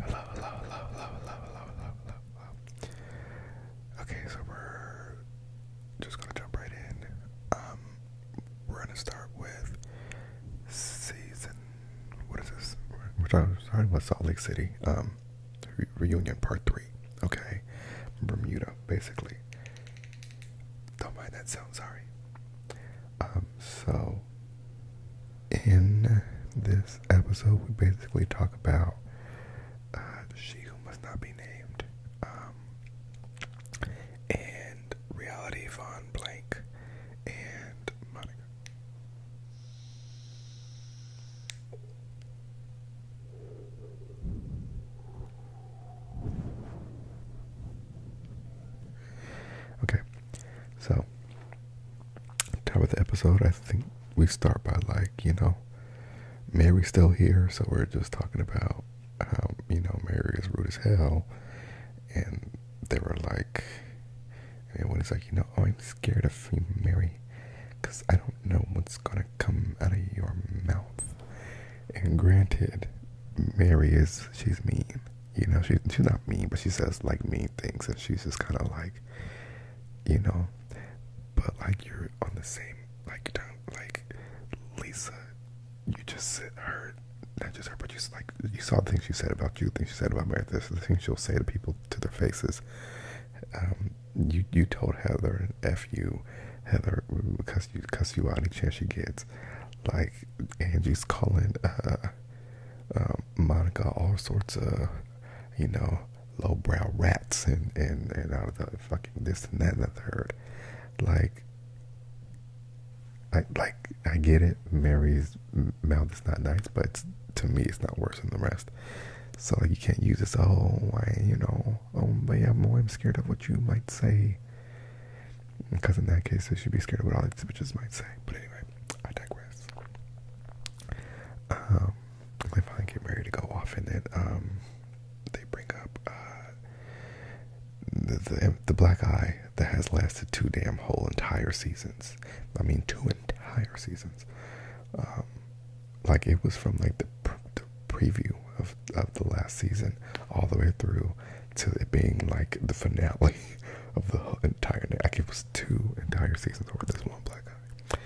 Hello, hello, Okay, so we're just gonna jump right in. Um, we're gonna start with season. What is this? Which I'm starting with Salt Lake City. Um, reunion part three. Okay, Bermuda, basically. Don't mind that sound. Sorry. Um, so in this episode, we basically talk about uh, she who must not be named, um, and reality Von Blank, and Monica. Okay, so so, top of the episode, I think we start by like, you know, Mary's still here, so we're just talking about how, you know, Mary is rude as hell. And they were like, and one is like, you know, oh, I'm scared of Mary, because I don't know what's going to come out of your mouth. And granted, Mary is, she's mean. You know, she, she's not mean, but she says like mean things, and she's just kind of like, you know, but like you're on the same, like, you not like Lisa, you just heard, not just her, but you like, you saw the things she said about you, the things she said about Mary, the things she'll say to people to their faces. Um, you, you told Heather, F you, Heather, cuss you, cuss you out any chance she gets. Like, Angie's calling, uh, um, Monica all sorts of, you know, lowbrow rats and and and all the fucking this and that and the third. Like, I like I get it. Mary's mouth is not nice, but to me, it's not worse than the rest. So you can't use this. Oh, I, you know, oh, but yeah, boy, I'm scared of what you might say. Because in that case, I should be scared of what all these bitches might say. But anyway, I digress. Um, they finally get ready to go off, and then um, they bring up uh, the, the black eye that has lasted two damn whole entire seasons. I mean, two entire seasons. Um, like it was from like the, the preview of of the last season all the way through to it being like the finale of the entire. Like it was two entire seasons over this one black guy.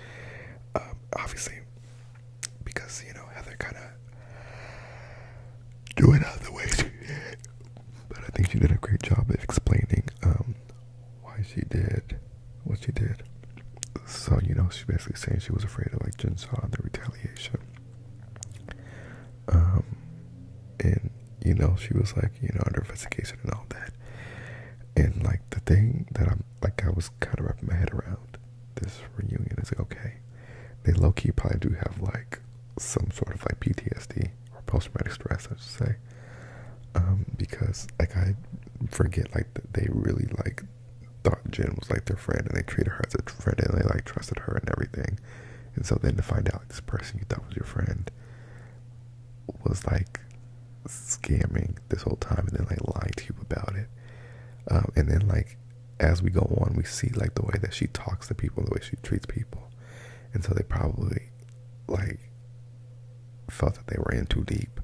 Um, obviously, because you know Heather kind of doing it out of the way but I think she did a great job of explaining um, why she did what she did. So you know, she's basically saying she was afraid of like Jinsaw and the retaliation. Um, and you know, she was like, you know, under investigation and all that. And like the thing that I'm like, I was kind of wrapping my head around this reunion is like, okay, they low key probably do have like some sort of like PTSD or post traumatic stress, I should say. Um, because like I forget like they really like thought Jen was like their friend and they treated her as a friend and they like trusted her and everything. And so then to find out like, this person you thought was your friend was like scamming this whole time and then like lying to you about it. Um, and then like as we go on, we see like the way that she talks to people, the way she treats people, and so they probably like felt that they were in too deep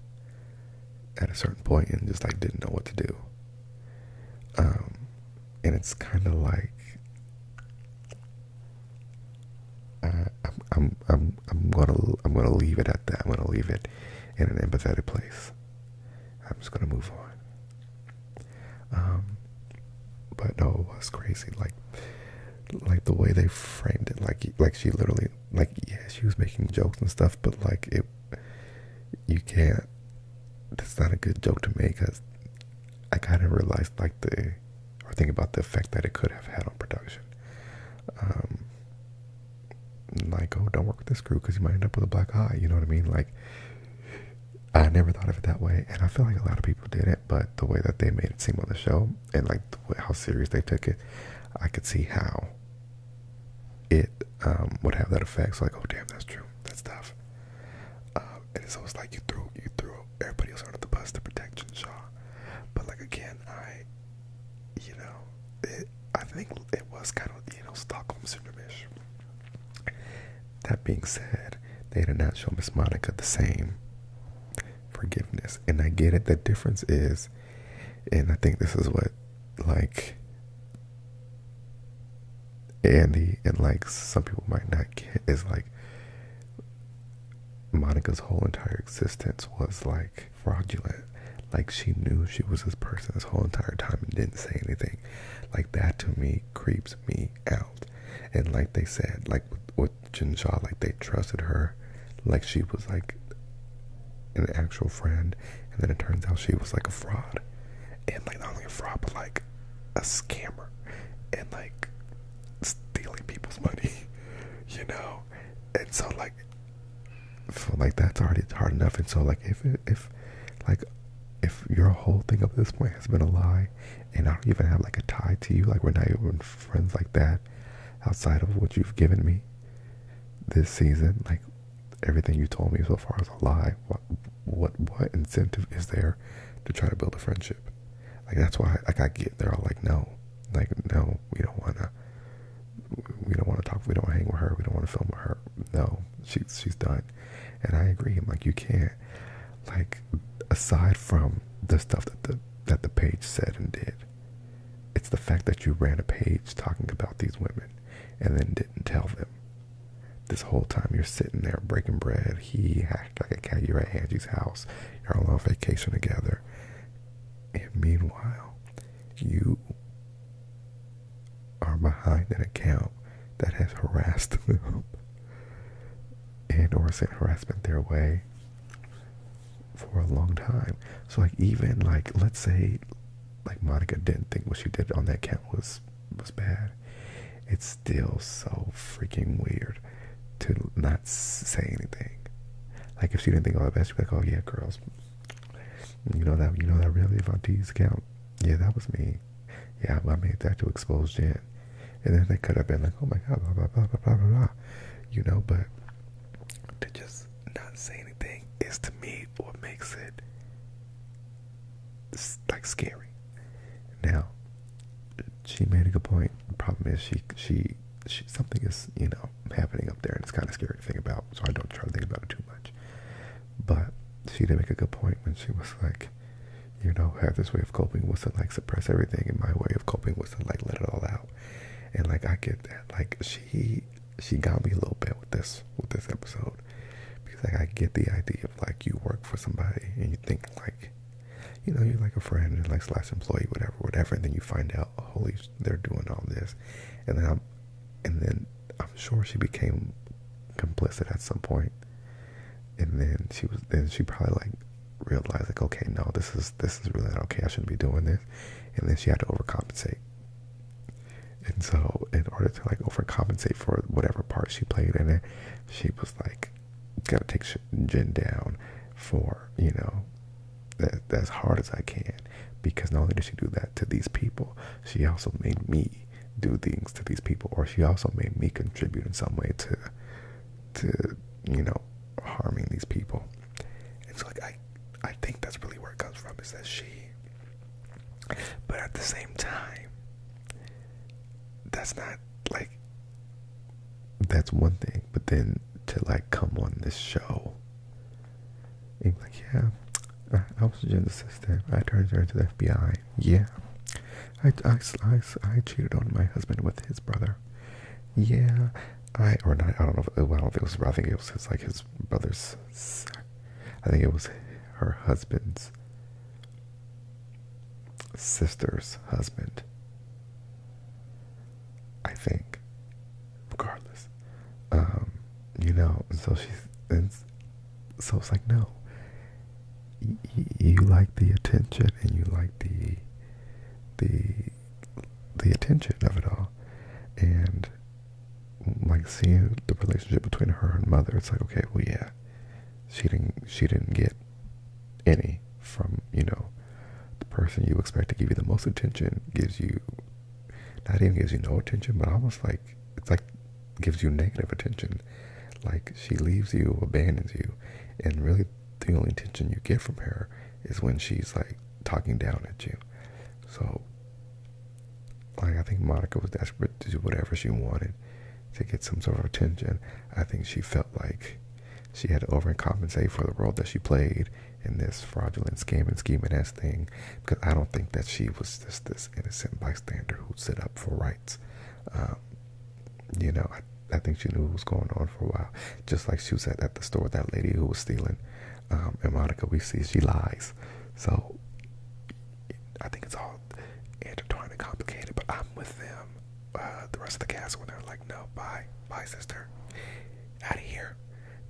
at a certain point and just like didn't know what to do. Um, and it's kind of like uh, I, am I'm, I'm, I'm gonna, I'm gonna leave it at that. I'm gonna leave it in an empathetic place. I'm just gonna move on. Um, but no, it was crazy. Like, like the way they framed it. Like, like she literally, like, yeah, she was making jokes and stuff, but like it, you can't. That's not a good joke to make because I kind of realized like the or think about the effect that it could have had on production. Um, like, oh, don't work with this crew because you might end up with a black eye. You know what I mean? Like, I never thought of it that way, and I feel like a lot of people did it. But the way that they made it seem on the show, and like how serious they took it, I could see how it um, would have that effect. So like, oh damn, that's true. That's tough. Um, and so it's like you threw you threw everybody else on the bus to protect Shaw. But like again, I, you know, it, I think it was kind of you know Stockholm syndrome That being said, they did not show Miss Monica the same forgiveness, and I get it. The difference is, and I think this is what like Andy and like some people might not get is like Monica's whole entire existence was like fraudulent. Like she knew she was this person this whole entire time and didn't say anything. Like that to me creeps me out. And like they said, like with, with like they trusted her, like she was like an actual friend, and then it turns out she was like a fraud. And like not only a fraud, but like a scammer and like stealing people's money, you know. And so like, so like that's already hard enough. And so like, if if like if your whole thing up to this point has been a lie, and I don't even have like a tie to you, like we're not even friends like that, outside of what you've given me this season, like everything you told me so far is a lie. What what what incentive is there to try to build a friendship? Like that's why like I get they're all like no, like no, we don't wanna we don't wanna talk, we don't wanna hang with her, we don't wanna film with her. No, she's she's done. And I agree, I'm like you can't like aside from the stuff that the that the page said and did, it's the fact that you ran a page talking about these women and then didn't tell them this whole time you're sitting there breaking bread. He hacked like a cat. You're at Angie's house. You're all on vacation together. And meanwhile, you are behind an account that has harassed them and or sent harassment their way for a long time. So like even like let's say like Monica didn't think what she did on that account was was bad. It's still so freaking weird to not say anything. Like if she didn't think all the best, she'd be like, "Oh yeah, girls, you know that you know that really on T's account, yeah, that was me. Yeah, I made that to expose Jen." And then they could have been like, "Oh my god, blah blah blah blah blah blah," you know. But to just not say anything is to me what makes it it's like scary. Now, she made a good point. The problem is she she she something is you know happening up there, and it's kind of scary to think about. So I don't try to think about it too much. But she did make a good point when she was like, you know, have this way of coping was to like suppress everything, and my way of coping was to like let it all out. And like I get that. Like she she got me a little bit with this with this episode because like I get the idea like you work for somebody and you think like you know you're like a friend and like slash employee whatever whatever and then you find out oh, holy they're doing all this and then i'm and then i'm sure she became complicit at some point and then she was then she probably like realized like okay no this is this is really not okay i shouldn't be doing this and then she had to overcompensate and so in order to like overcompensate for whatever part she played in it she was like, gotta take Jen down for, you know, as hard as I can. Because not only did she do that to these people, she also made me do things to these people, or she also made me contribute in some way to, to you know, harming these people. And so like I, I think that's really where it comes from. Is that she? But at the same time, that's not like that's one thing, but then to like come on this show and be like, yeah, I, I was a the system. I turned her into the FBI. Yeah, I, I, I, I cheated on my husband with his brother. Yeah, I or not. I don't know. well, I don't think it was. I think it was his like his brother's. I think it was her husband's sister's husband. I think, regardless, um, you know. And so she's, and so it's like, no, you like the attention, and you like the, the, the attention of it all, and like seeing the relationship between her and mother. It's like, okay, well, yeah, she didn't she didn't get any from you know the person you expect to give you the most attention gives you not even gives you no attention but almost like it's like gives you negative attention like she leaves you abandons you and really the only attention you get from her is when she's like talking down at you so like i think monica was desperate to do whatever she wanted to get some sort of attention. I think she felt like she had to overcompensate for the role that she played in this fraudulent scam and scheme and ass thing because I don't think that she was just this innocent bystander who set up for rights. Um, you know, I, think she knew what was going on for a while. Just like she was at, the store, that lady who was stealing. Um, and Monica, we see she lies. So I think it's all intertwined and complicated, but I'm with them, uh, the rest of the cast, when they're like, no, bye, bye, sister, out of here,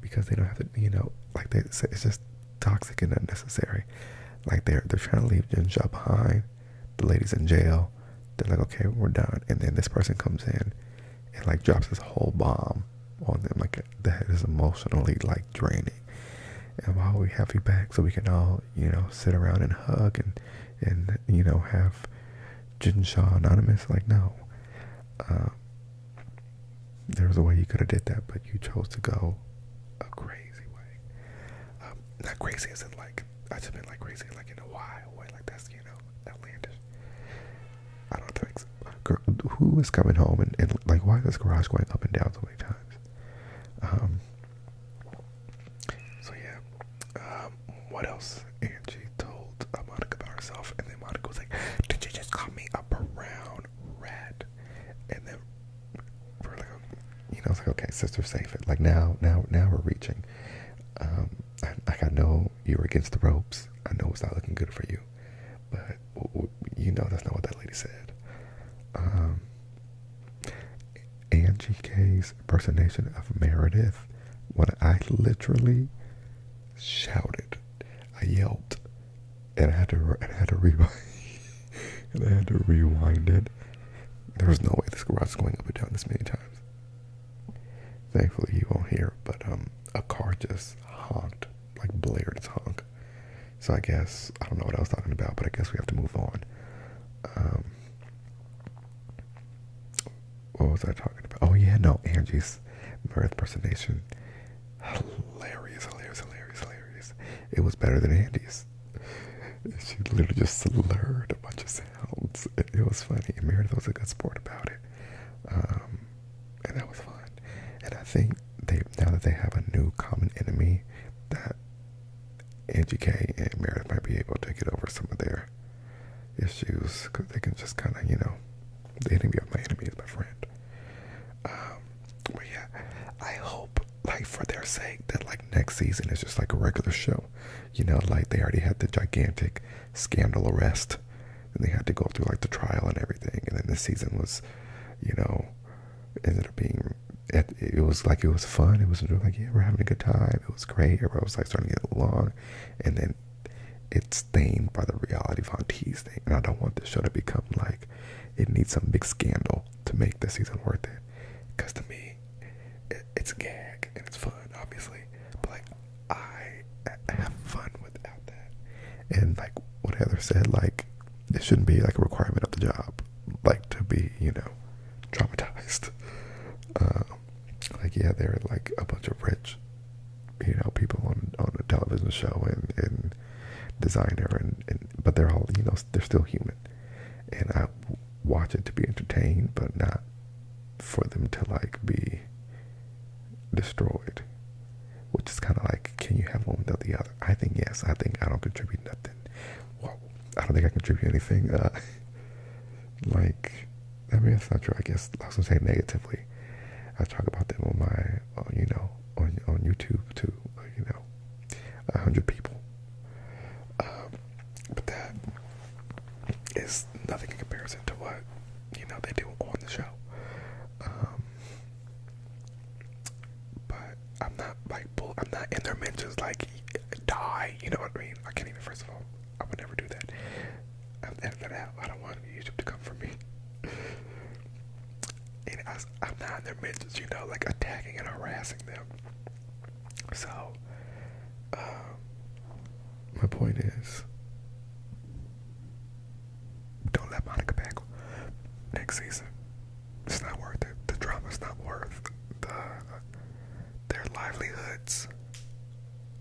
because they don't have to, you know, like they say, it's just toxic and unnecessary. Like they're they're trying to leave Jinsha behind. The lady's in jail. They're like, okay, we're done. And then this person comes in and like drops this whole bomb on them. Like that is emotionally like draining and while we have you back so we can all, you know, sit around and hug and, and you know, have Jinshaw Anonymous? Like, no. Uh, there was a way you could have did that, but you chose to go a crazy way. Um, not crazy as in, like, I just been like, crazy, like, in a wild way. Like, that's, you know, outlandish. I don't think so. Girl, who is coming home and, and like why is this garage going up and down so many times? Um, so yeah, um, what else? Angie told uh, Monica about herself, and then Monica was like, "Did you just call me a brown rat?" And then we're like, you know, like, okay, sister, save it. Like now, now, now we're reaching. Um, like I know you were against the ropes. I know it's not looking good for you, but you know that's not what that lady said. Um, Angie K's impersonation of Meredith, when I literally shouted, I yelled, and I had to, rewind, and I had to rewind it. There was no way this garage is going up and down this many times. Thankfully, you won't hear, but um, a car just honked, like blared its honk, so I guess I don't know what I was talking about, but I guess we have to move on. Um, what was I talking about? Oh yeah, no, Angie's Mirth personation. Hilarious, hilarious, hilarious, hilarious. It was better than Andy's. She literally just slurred a bunch of sounds. It, was funny. And Meredith was a good sport about it. Um, and that was fun. And I think they now that they have a new common enemy that NGK and Meredith might be able to get over some of their issues because they can just kind of, you know, the enemy of my enemy is my friend. Um, but yeah, I hope, like, for their sake, that, like, next season is just like a regular show. You know, like, they already had the gigantic scandal arrest and they had to go through, like, the trial and everything. And then this season was, you know, ended up being it, was like it was fun. It was like yeah, we're having a good time. It was great. Everybody was like starting to get along, and then it's stained by the reality of T's thing. And I don't want this show to become like it needs some big scandal to make this season worth it. Because to me, it's a gag and it's fun, obviously. But like, I have fun without that. And like what Heather said, like it shouldn't be like a requirement of the job like to be, you know, traumatized. Uh, like yeah, they are like a bunch of rich, you know, people on on a television show and and designer and, and but they're all you know they're still human, and I watch it to be entertained, but not for them to like be destroyed, which is kind of like can you have one without the other? I think yes. I think I don't contribute nothing. I don't think I contribute anything. Uh, like, I mean, that's not true. I guess I was gonna say negatively. I talk about them on my, you know, on on YouTube to, uh, You know, a hundred people. Um, but that is nothing in comparison to what you know they do on the show. Um, but I'm not like bull. I'm not in their mentions like die. You know what I mean? I can't even. First of all, I would never do that. I'm that out. I don't want YouTube to come for me. And I, am not in their mentions. You know, like attacking and harassing them. So, um, my point is, don't let Monica back next season. It's not worth it. The drama's not worth the their livelihoods.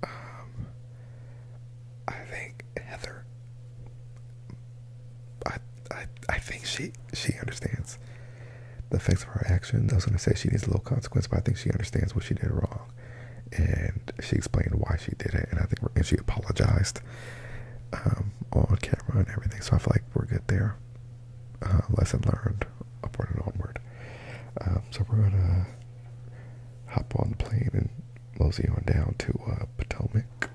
Um, I think Heather. I I I think she she understands the effects of her action. I was gonna say she needs a little consequence, but I think she understands what she did wrong, and she explained why she did it, and I think and she apologized. Um, um, on camera and everything. So I feel like we're good there. Uh, lesson learned, upward and onward. Um, so we're gonna hop on the plane and mosey on down to uh, Potomac.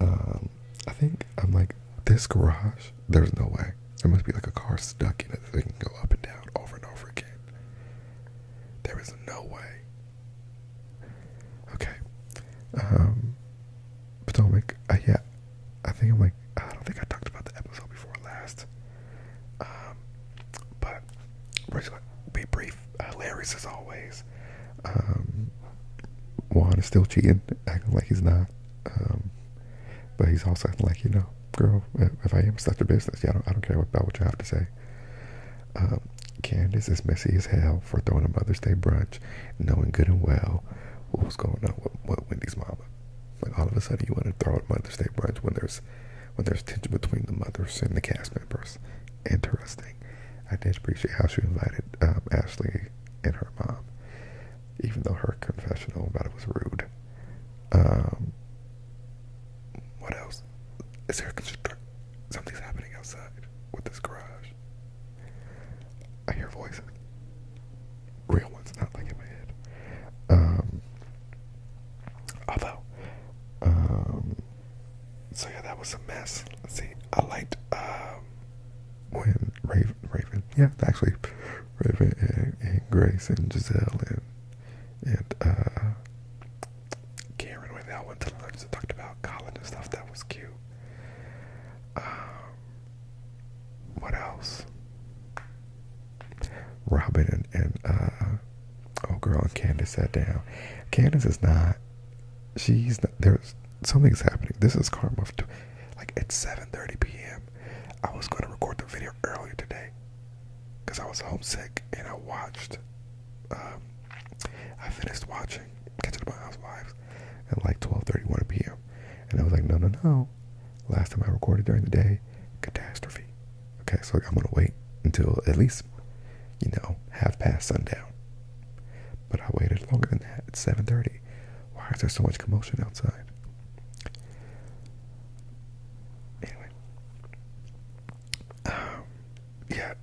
Um, I think I'm like this garage. There's no way. There must be like a car stuck in it that so can go up and down over and over again. There is no way Okay. Um, Potomac. Uh, yeah, I think I'm like, I don't think I talked about the episode before last. Um, but we're just going to be brief. Hilarious uh, as always. Um, Juan is still cheating, acting like he's not. Um, but he's also acting like, you know, girl, if I am such a business, yeah, I don't care about what you have to say. Um, Candace is messy as hell for throwing a Mother's Day brunch, knowing good and well what was going on with, Wendy's mama. Like all of a sudden, you want to throw a Mother's Day brunch when there's when there's tension between the mothers and the cast members. Interesting. I did appreciate how she invited um, Ashley and her mom, even though her confessional about it was rude. Um, what else? Is there Something's happening outside with this garage. I hear voices. Real ones, not like in my head. Um, although, um, so yeah, that was a mess. Let's see. I liked um, when Raven, Raven, yeah, actually, Raven and, and Grace and Giselle and and uh, Karen went out went to lunch and talked about college and stuff. That was cute. Um, what else? Robin and, and uh, oh, girl and Candace sat down. Candace is not. She's there's something's happening. This is karma. Like at 7:30 p.m. I was going to record the video earlier today because I was homesick and I watched um, I finished watching Kitchen of My Housewives at like 12:31 p.m. and I was like, no, no, no. Last time I recorded during the day, catastrophe. Okay, so I'm gonna wait until at least you know half past sundown. But I waited longer than that. It's 7:30. Why is there so much commotion outside? Anyway, um, yeah,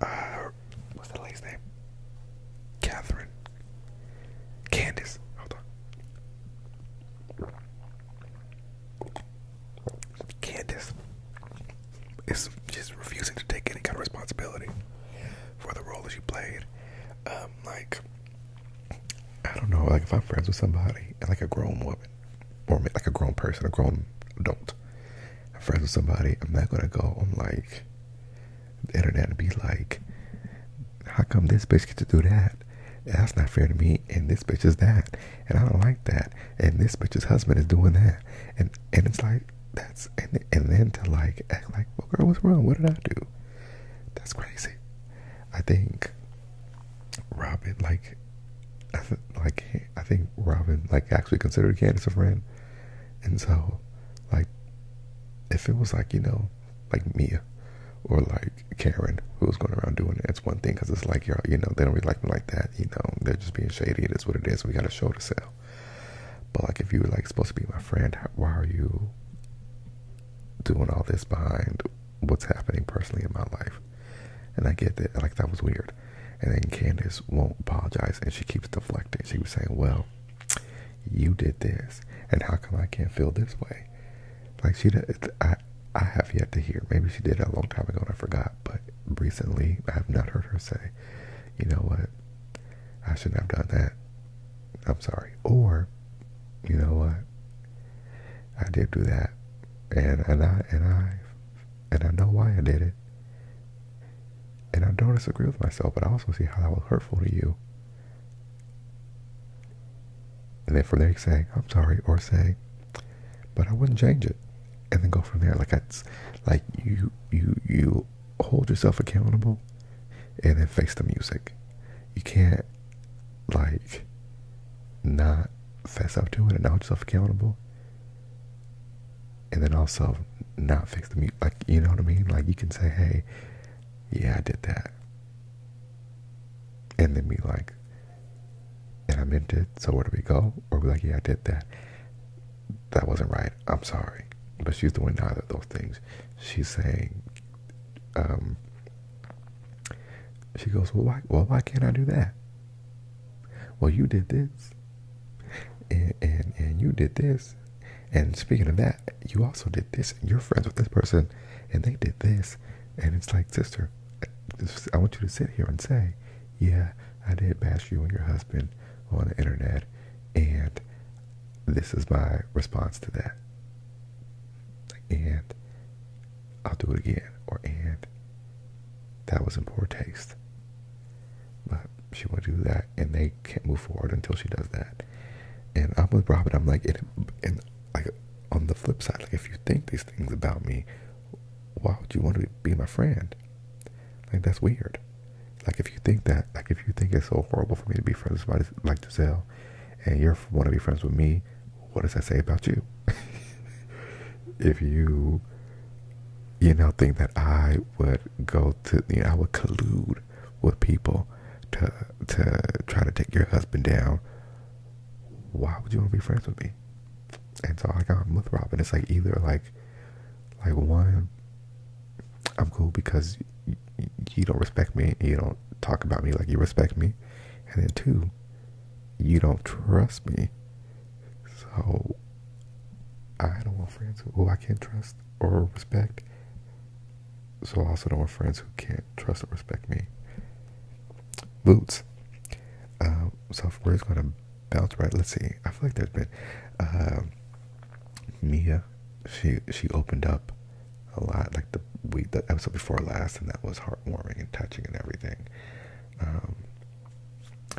uh, what's the lady's name? Catherine. Candace. Hold on. Candace is just refusing to take any kind of responsibility for the role that she played. Um, like, I don't know, like if I'm friends with somebody, like a grown woman, or like a grown person, a grown adult, I'm friends with somebody, I'm not gonna go. on like, the internet and be like, how come this bitch get to do that? That's not fair to me. And this bitch is that, and I don't like that. And this bitch's husband is doing that, and and it's like that's and and then to like act like, well, girl, what's wrong? What did I do? That's crazy. I think Robin like. I th like I think Robin like actually considered Candace a friend, and so, like, if it was like, you know, like Mia or like Karen who was going around doing it, it's one thing because it's like, y'all, you know, they don't really like me like that. You know, they're just being shady. It is what it is. We got to show to sell. But like, if you were like supposed to be my friend, why are you doing all this behind what's happening personally in my life? And I get that. Like, that was weird. And then Candace won't apologize and she keeps deflecting. She was saying, Well, you did this, and how come I can't feel this way? Like, she did, I, I have yet to hear. Maybe she did a long time ago and I forgot, but recently I have not heard her say, You know what? I shouldn't have done that. I'm sorry. Or, you know what? I did do that, and and I and I and I know why I did it. And I don't disagree with myself, but I also see how that was hurtful to you. And then from there, say I'm sorry, or say, but I wouldn't change it. And then go from there. Like, that's like you, you, you hold yourself accountable and then face the music. You can't, like, not fess up to it and hold yourself accountable and then also not fix the mute. Like, you know what I mean? Like, you can say, hey, yeah, I did that. And then be like, and I meant it, so where do we go? Or be like, yeah, I did that. That wasn't right. I'm sorry. But she's doing neither of those things. She's saying, um, she goes, well, why, well, why can't I do that? Well, you did this, and, and you did this, and speaking of that, you also did this, and you're friends with this person, and they did this, and it's like, sister, I want you to sit here and say, yeah, I did bash you and your husband on the internet, and this is my response to that. And I'll do it again, or and that was in poor taste. But she will not do that, and they can't move forward until she does that. And I'm with Robin. I'm like, and, like on the flip side, like if you think these things about me, why would you want to be my friend? Like that's weird. Like if you think that, like if you think it's so horrible for me to be friends with somebody like Giselle, and you want to be friends with me, what does that say about you? if you you know, think that I would go to, you know, I would collude with people to to try to take your husband down. Why would you want to be friends with me? And so like I'm with Robin. It's like either like, like one, I'm cool because you don't respect me. You don't talk about me like you respect me, and then two, you don't trust me. So I don't want friends who I can't trust or respect. So I also don't want friends who can't trust or respect me. Boots. Uh, um, so we're gonna bounce right. Let's see. I feel like there's been um, Mia. She she opened up a lot, like the week the episode before last, and that was heartwarming and touching and everything. Um,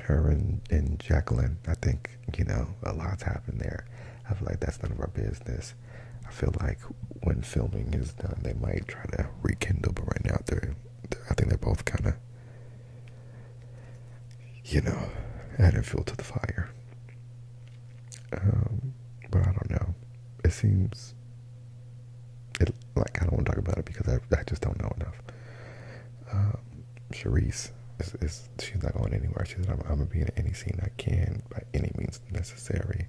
her and, and Jacqueline, I think, you know, a lot's happened there. I feel like that's none of our business. I feel like when filming is done, they might try to rekindle, but right now they're, I think they're both kind of, you know, adding fuel to the fire. Um, but I don't know. It seems, it like I don't want to talk about it because I, I just don't know enough. Um, Charisse is, she's not going anywhere. She's I'm, I'm gonna be in any scene I can by any means necessary.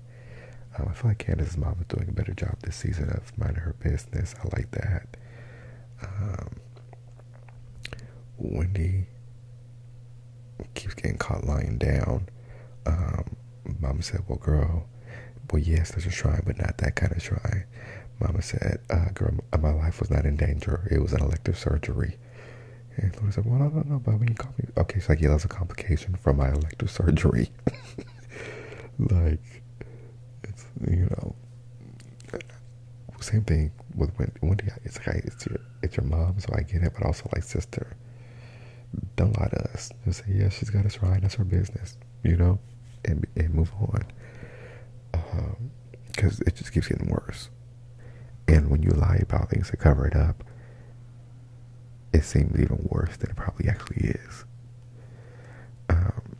Um, I feel like Candace's mom is doing a better job this season of minding her business. I like that. Um, Wendy keeps getting caught lying down. Mom um, said, "Well, girl, well, yes, there's a try, but not that kind of try." mama said, uh, girl, uh, my life was not in danger. It was an elective surgery. And Lorna said, well, I don't know, but when you call me, okay, she's like, yeah, that was a complication from my elective surgery. like, it's, you know, same thing with Wendy. It's like, I, it's your, it's your mom, so I get it, but also like sister. Don't lie to us. Just say, yeah, she's got us right. That's her business you know, and, and move on. Because um, it just keeps getting worse. And when you lie about things to cover it up, it seems even worse than it probably actually is. Um,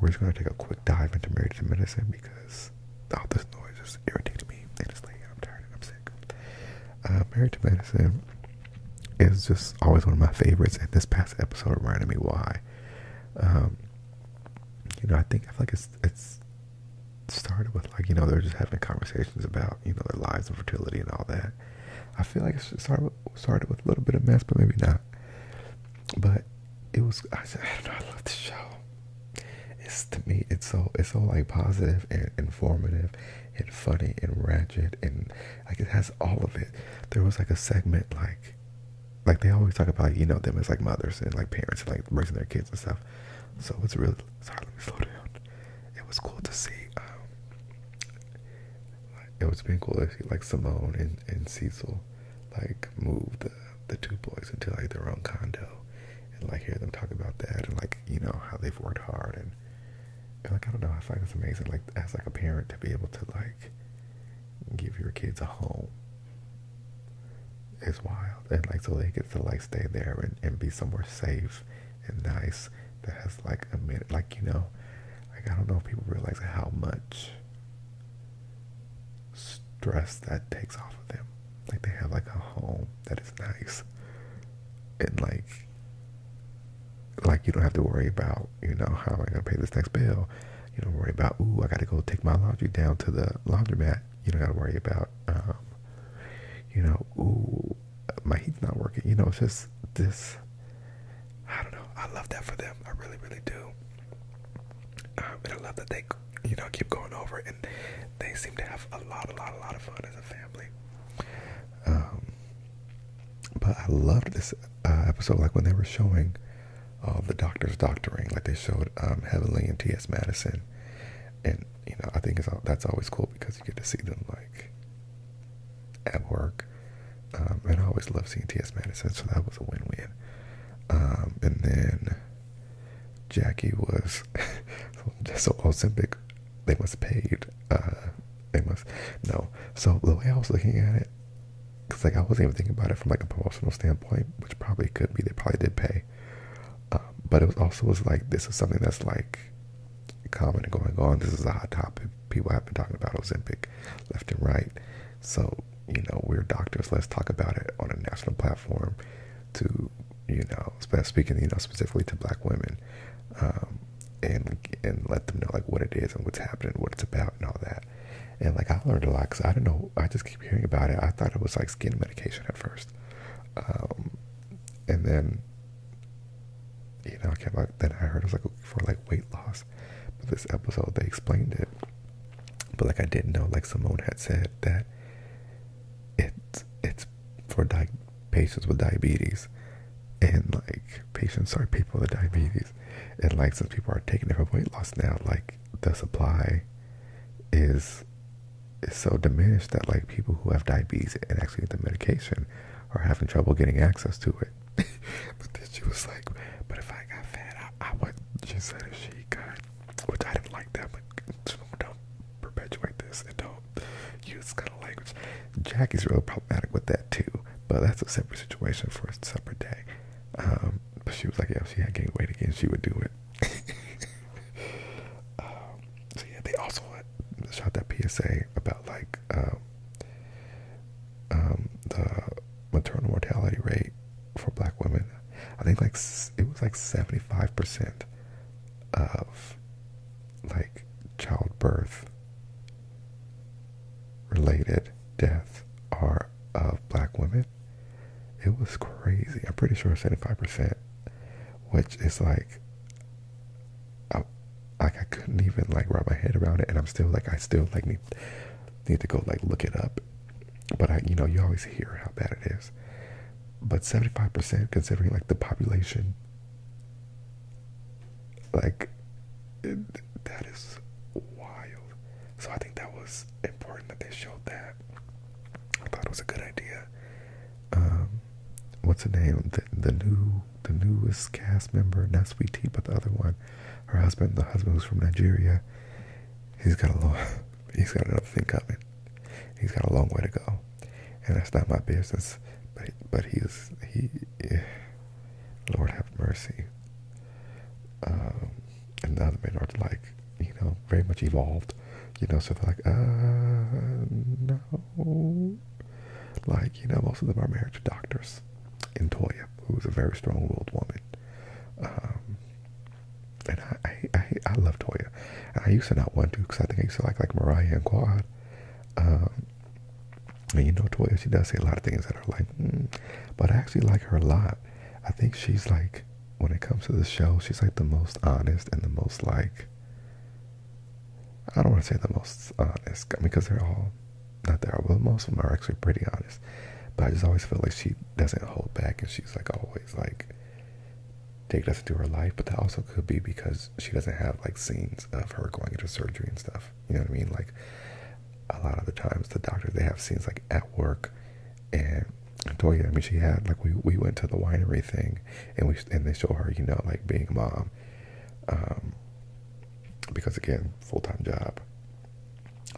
we're just going to take a quick dive into marriage and medicine because all this noise just irritates me. And it's late, I'm tired, and I'm sick. Uh, marriage to medicine is just always one of my favorites, and this past episode reminded me why. Um, you know, I think I feel like it's it's started with like you know they're just having conversations about you know their lives and fertility and all that. I feel like it started with, started with a little bit of mess, but maybe not. But it was I, said I don't know. I love the show. It's to me, it's so it's so like positive and informative and funny and ratchet and like it has all of it. There was like a segment like like they always talk about you know them as like mothers and like parents and like raising their kids and stuff so it's really sorry let me slow down it was cool to see um, it was been cool to see like simone and, and cecil like move the the two boys into like their own condo and like hear them talk about that and like you know how they've worked hard and, like i don't know i find it's amazing like as like a parent to be able to like give your kids a home It's wild. And like so they get to like stay there and, and be somewhere safe and nice that has like a minute like you know, like I don't know if people realize how much stress that takes off of them. Like they have like a home that is nice and like like you don't have to worry about, you know, how am I gonna pay this next bill? You don't worry about, ooh, I gotta go take my laundry down to the laundromat. You don't gotta worry about, um, you know, ooh, my heat's not working. You know, it's just this. I don't know. I love that for them. I really, really do. Um, and I love that they, you know, keep going over and they seem to have a lot, a lot, a lot of fun as a family. Um, but I loved this uh, episode, like when they were showing all um, the doctors doctoring, like they showed um, Heavenly and T.S. Madison, and you know I think it's that's always cool because you get to see them like at work, um, and I always love seeing T.S. Madison, so that was a win-win. Um, and then Jackie was so Ozempic, they must have paid. Uh, they must no. So the way I was looking at it, because like I wasn't even thinking about it from like a promotional standpoint, which probably could be. They probably did pay, um, but it was also was like this is something that's like common and going on. This is a hot topic. People have been talking about Ozempic left and right. So you know we're doctors. Let's talk about it on a national platform. To you know, speaking you know specifically to Black women. Um, and and let them know like what it is and what's happening, what it's about, and all that. And like I learned a lot because I don't know. I just keep hearing about it. I thought it was like skin medication at first, um, and then you know I kept like then I heard it was like for like weight loss. this episode they explained it, but like I didn't know. Like Simone had said that it's it's for patients with diabetes, and like patients are people with diabetes and like since people are taking it for weight loss now, like the supply is is so diminished that like people who have diabetes and actually need the medication are having trouble getting access to it. but then she was like, but if I got fat, I, I would. She said if she got, which I didn't like that, but don't perpetuate this and don't use kind of language. Jackie's really problematic with that too, but that's a separate situation for a separate day. Um, but she was like, yeah, if she had gained weight again, she would do it. Um, so yeah, they also shot that PSA about like um, the maternal mortality rate for black women. I think like it was like seventy five percent of like childbirth related deaths are of black women. It was crazy. I'm pretty sure 75%, which is like, I, like I couldn't even like wrap my head around it. And I'm still like, I still like need, need to go like look it up. But I, you know, you always hear how bad it is. But 75% considering like the population like, that is wild. So I think that was important that they showed that. I thought it was a good idea. Um, what's the name? The, the new, the newest cast member, not Sweet but the other one, her husband, the husband who's from Nigeria. He's got a long, he's got another thing coming. He's got a long way to go, and that's not my business. But but he's he Lord have mercy. Um, and the other men are like, you know, very much evolved, you know, so they're like, uh, no. Like, you know, most of them are married to doctors. And Toya, who's a very strong-willed woman. Um, and I, I, I, love Toya. And I used to not want to because I think I used to like, like Mariah and Quad. Um, and you know, Toya, she does say a lot of things that are like, mm, but I actually like her a lot. I think she's like, when it comes to the show, she's like the most honest and the most like, I don't want to say the most honest, because they're all, not there. but most of them are actually pretty honest. But I just always feel like she doesn't hold back and she's like always like, take us into her life. But that also could be because she doesn't have like scenes of her going into surgery and stuff. You know what I mean? Like a lot of the times the doctor they have scenes like at work and Toya, I mean she had like we, we went to the winery thing and we and they show her, you know, like being a mom. Um because again, full time job.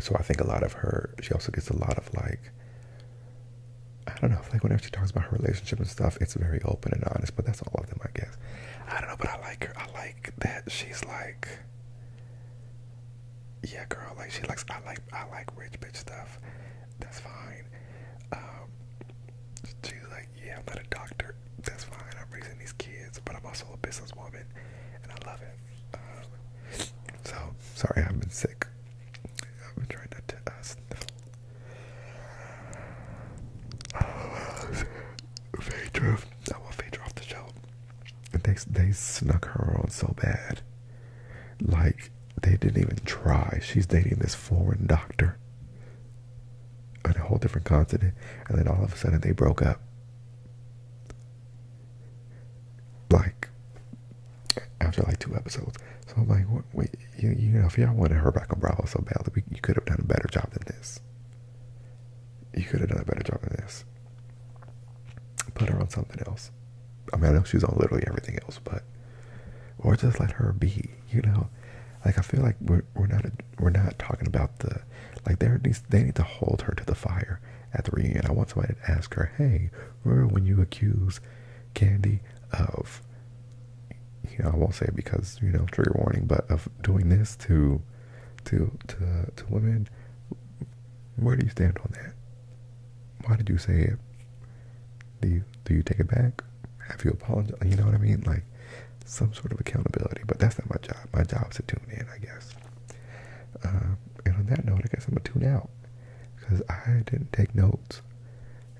So I think a lot of her she also gets a lot of like I don't know, like whenever she talks about her relationship and stuff, it's very open and honest, but that's all of them I guess. I don't know, but I like her like that she's like, yeah, girl. Like she likes. I like. I like rich bitch stuff. That's fine. Um, she's like, yeah, I'm not a doctor. That's fine. I'm raising these kids, but I'm also a businesswoman, and I love it. so sorry, I've been sick. I've been trying not to uh, sniffle. Very true. I want Phaedra off the show. They they snuck her on so bad, like they didn't even try. She's dating this foreign doctor on a whole different continent, and then all of a sudden they broke up. Like after like two episodes, so I'm like, what, wait, you, you know, if y'all wanted her back on Bravo so badly, you could have done a better job than this. You could have done a better job than this. Put her on something else. I mean, I know she's on literally everything else, but or just let her be. You know, like I feel like we're we're not we're not talking about the like they they need to hold her to the fire at the reunion. I want somebody to ask her, "Hey, when you accuse Candy of I won't say it because you know trigger warning, but of doing this to to to to women, where do you stand on that? Why did you say it? Do you do you take it back? Have you apologized? You know what I mean? Like some sort of accountability. But that's not my job. My job is to tune in, I guess. Uh, and on that note, I guess I'm gonna tune out because I didn't take notes.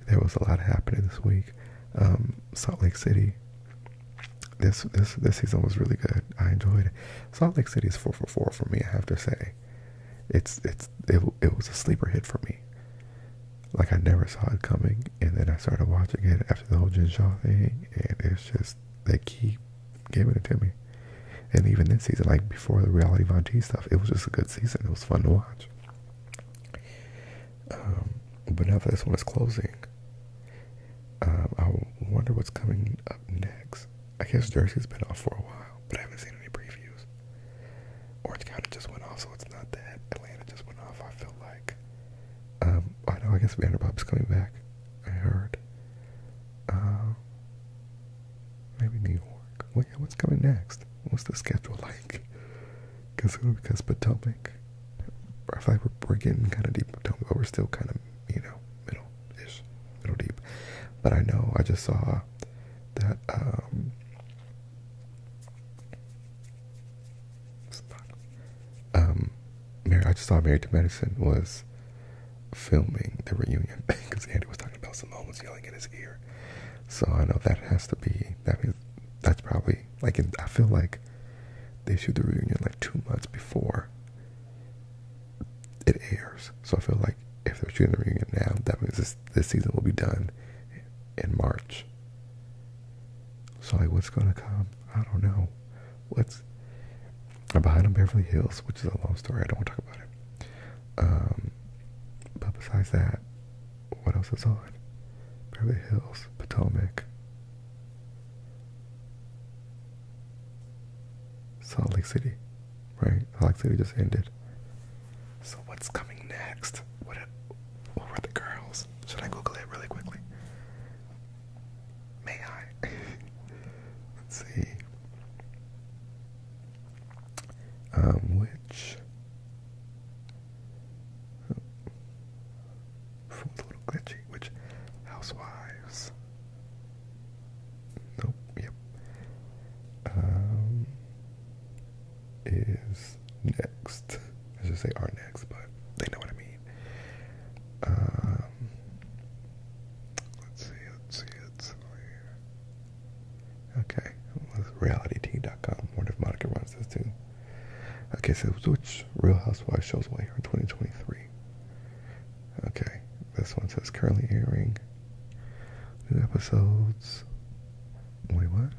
There was a lot happening this week. Um, Salt Lake City this this this season was really good. I enjoyed it. Salt Lake City is four for four for me. I have to say, it's it's it it was a sleeper hit for me. Like I never saw it coming, and then I started watching it after the whole Jin Shaw thing, and it's just they keep giving it to me. And even this season, like before the reality Von T stuff, it was just a good season. It was fun to watch. Um, but now that this one is closing, um, I wonder what's coming up next. I guess Jersey's been off for a while, but I haven't seen any previews. Orange County just went off, so it's not that. Atlanta just went off, I feel like. Um, I know, I guess Vanderbilt coming back, I heard. Um, maybe New York. what's coming next? What's the schedule like? because because Potomac, or if I were, we're getting kind of deep Potomac, but we're still kind of you know middle-ish, middle deep. But I know I just saw that um, um, Mary. I just saw Married to Medicine was filming the reunion because Andy was talking about Simone was yelling in his ear. So I know that has to be that is that's probably like, I feel like they shoot the reunion like two months before it airs. So I feel like if they're shooting the reunion now, that means this this season will be done in March. So like, what's gonna come? I don't know. What's behind on Beverly Hills, which is a long story. I don't want to talk about it. Um, but besides that, what else is on? Beverly Hills, Potomac, Salt Lake City, right? Salt Lake City just ended. So what's coming next? What, were the girls? Should I Google it really quickly? May I? see. Um, which Phone's a little glitchy, which housewives. Nope, yep. Um is next. I should say are next, but they know what I mean. Um let's see, let's see, let's see here. Okay, reality reality.com. Wonder if Monica runs this too. Okay, so which Real Housewives shows will air in 2023? Okay, this one says currently airing new episodes. Wait, what?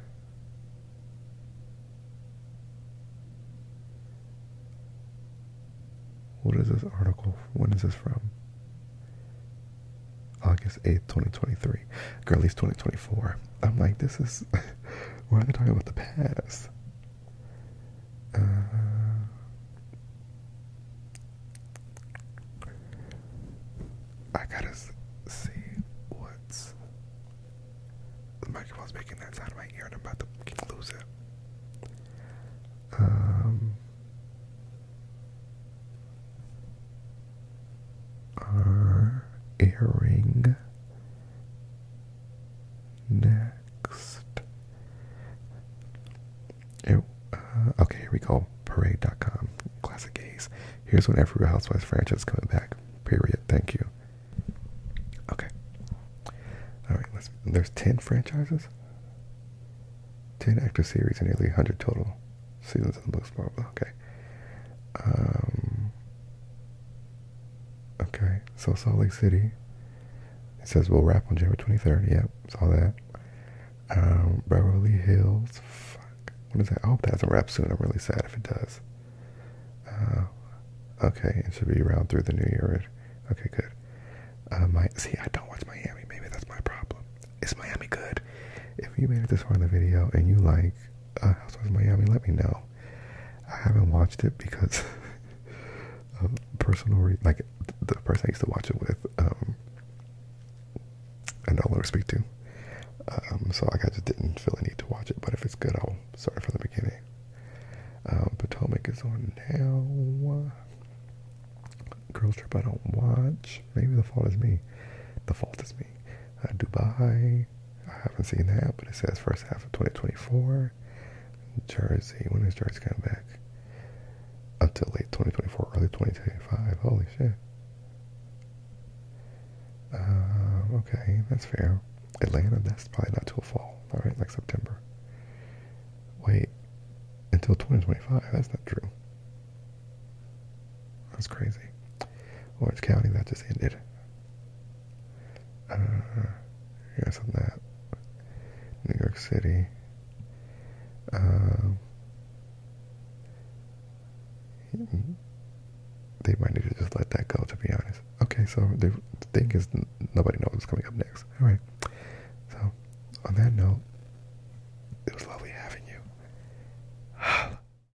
What is this article? When is this from? August 8th, 2023. Girl, at 2024. I'm like, this is. Why are they talking about the past. Uh, I gotta see what's the microphone's making that sound of my ear, and I'm about to lose it. Um. Our earring Next. Uh, okay, here we go. Parade.com. Classic gays. Here's when every Real Housewives franchise is coming back. Period. Thank you. Okay. All right. Let's. There's ten franchises. Ten actor series and nearly hundred total seasons of the books. Okay. Um, Okay, so Salt Lake City. It says we'll wrap on January 23rd. Yep, saw that. Um, Beverly Hills. Fuck. What is that? I hope that doesn't wrap soon. I'm really sad if it does. Uh, okay, it should be around through the new year. Okay, good. Uh, my see, I don't watch Miami. Maybe that's my problem. Is Miami good? If you made it this far in the video and you like uh, Housewives Miami, let me know. I haven't watched it because of um, personal re like the person I used to watch it with, um, I no to speak to. Um, so I just didn't feel the need to watch it, but if it's good, I'll start from the beginning. Um, Potomac is on now. Girls Trip I don't watch. Maybe The Fault is Me. The Fault is Me. Uh, Dubai. I haven't seen that, but it says first half of 2024. Jersey. When is Jersey coming back? Up to late 2024, early 2025. Holy shit. Um, okay, that's fair. Atlanta, that's probably not till fall. All right, like September. Wait, until 2025. That's not true. That's crazy. Orange County, that just ended. I don't You guys on that? New York City. Um, they might need to just let that go, to be honest. Okay, so the thing is, nobody knows what's coming up next. All right. So, on that note, it was lovely having you.